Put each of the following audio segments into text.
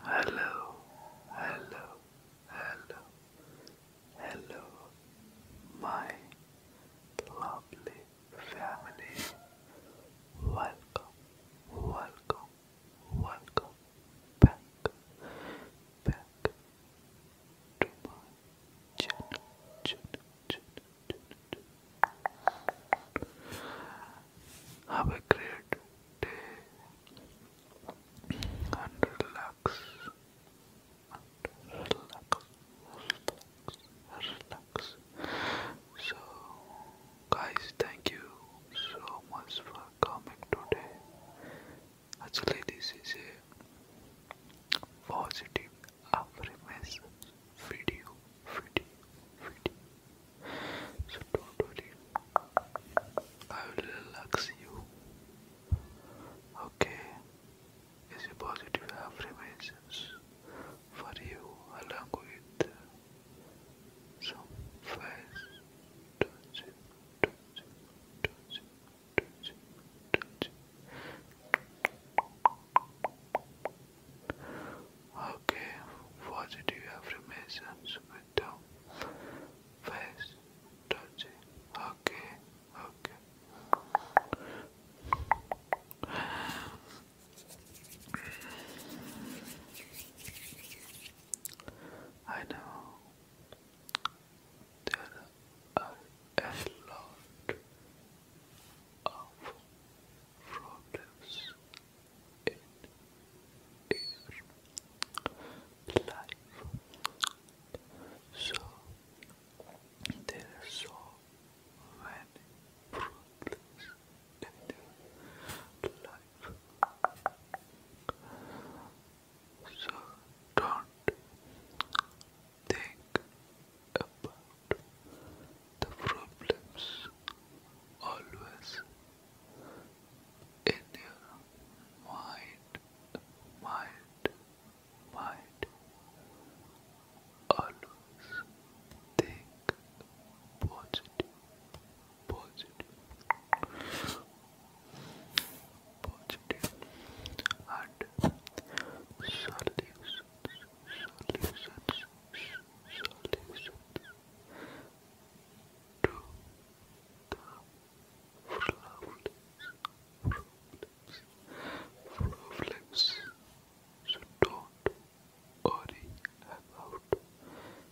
Hello, hello, hello, hello, my lovely family. Welcome, welcome, welcome back, back, have a great day and relax. So, guys, thank you so much for coming today. Actually, this is a positive affirmation video, video, video. So don't worry, I will relax you. Okay, it's a positive affirmations for you along with some face. Touch it, touch Okay, positive affirmations with the face Okay, okay. I know there are a lot of problems in life. So there are so many problems in life. So don't think about the problems always in your mind, mind, mind. Always think positive positive, positive, and solutions, solutions, solutions to the problems, problems, problems. don't worry about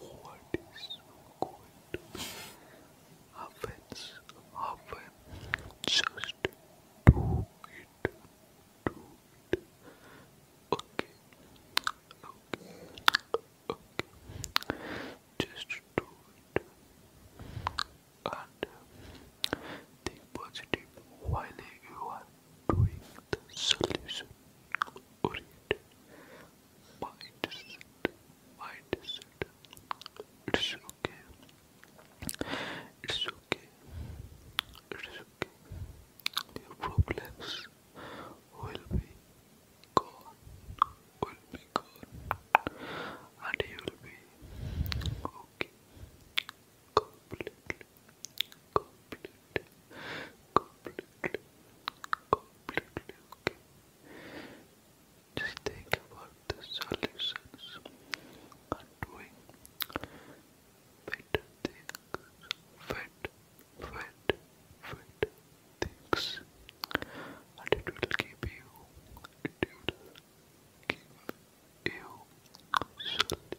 what is going to happen, happen, just do it, do it, okay, okay, okay, just do it, and think positive while you are doing the solution, oriented, mindset, mindset. It's okay. It's okay. It's okay. Your problems will be gone. Will be gone. And you'll be okay. Completely. Completely completely, completely, okay. Just think about the solutions and doing better things, fat, fat, fat things, and it will keep you, it will keep you solid, solid,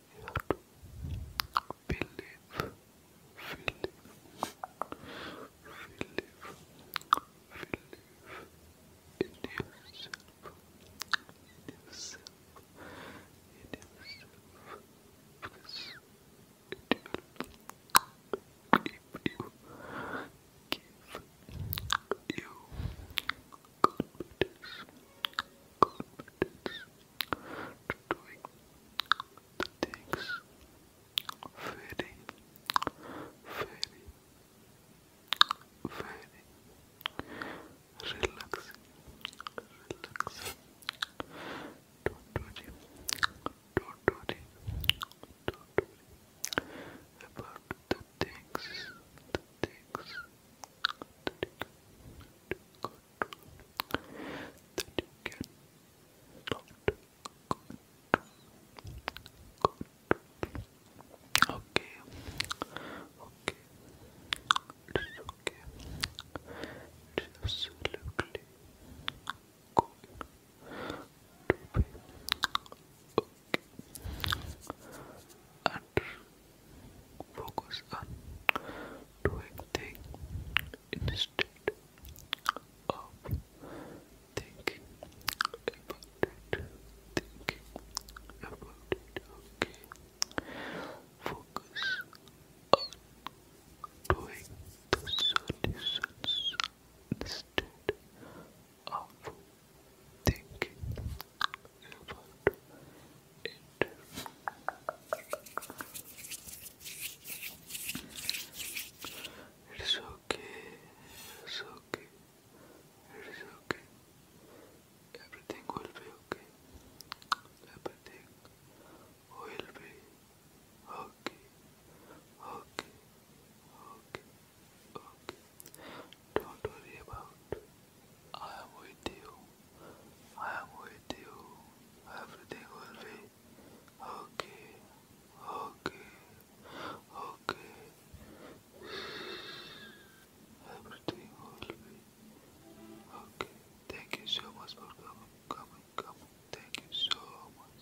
You believe, believe, believe, in yourself, in yourself, in yourself, because it will keep you, give you confidence, confidence to doing the things very, very, very relaxing, relaxing. Don't worry, don't about the things, the things that you that you can start good, Okay, okay, absolutely okay and focus on doing things instead of thinking about it. Thinking about it, okay. Focus on doing the solutions instead of thinking about it. It's okay, it's okay, it's okay. Everything will be okay. Everything will be okay. Okay, okay, okay. Don't worry about I am with you. I am with you. Everything will be okay. Okay. Okay. Everything will be okay. Thank you so much for coming, coming, coming. Thank you so much.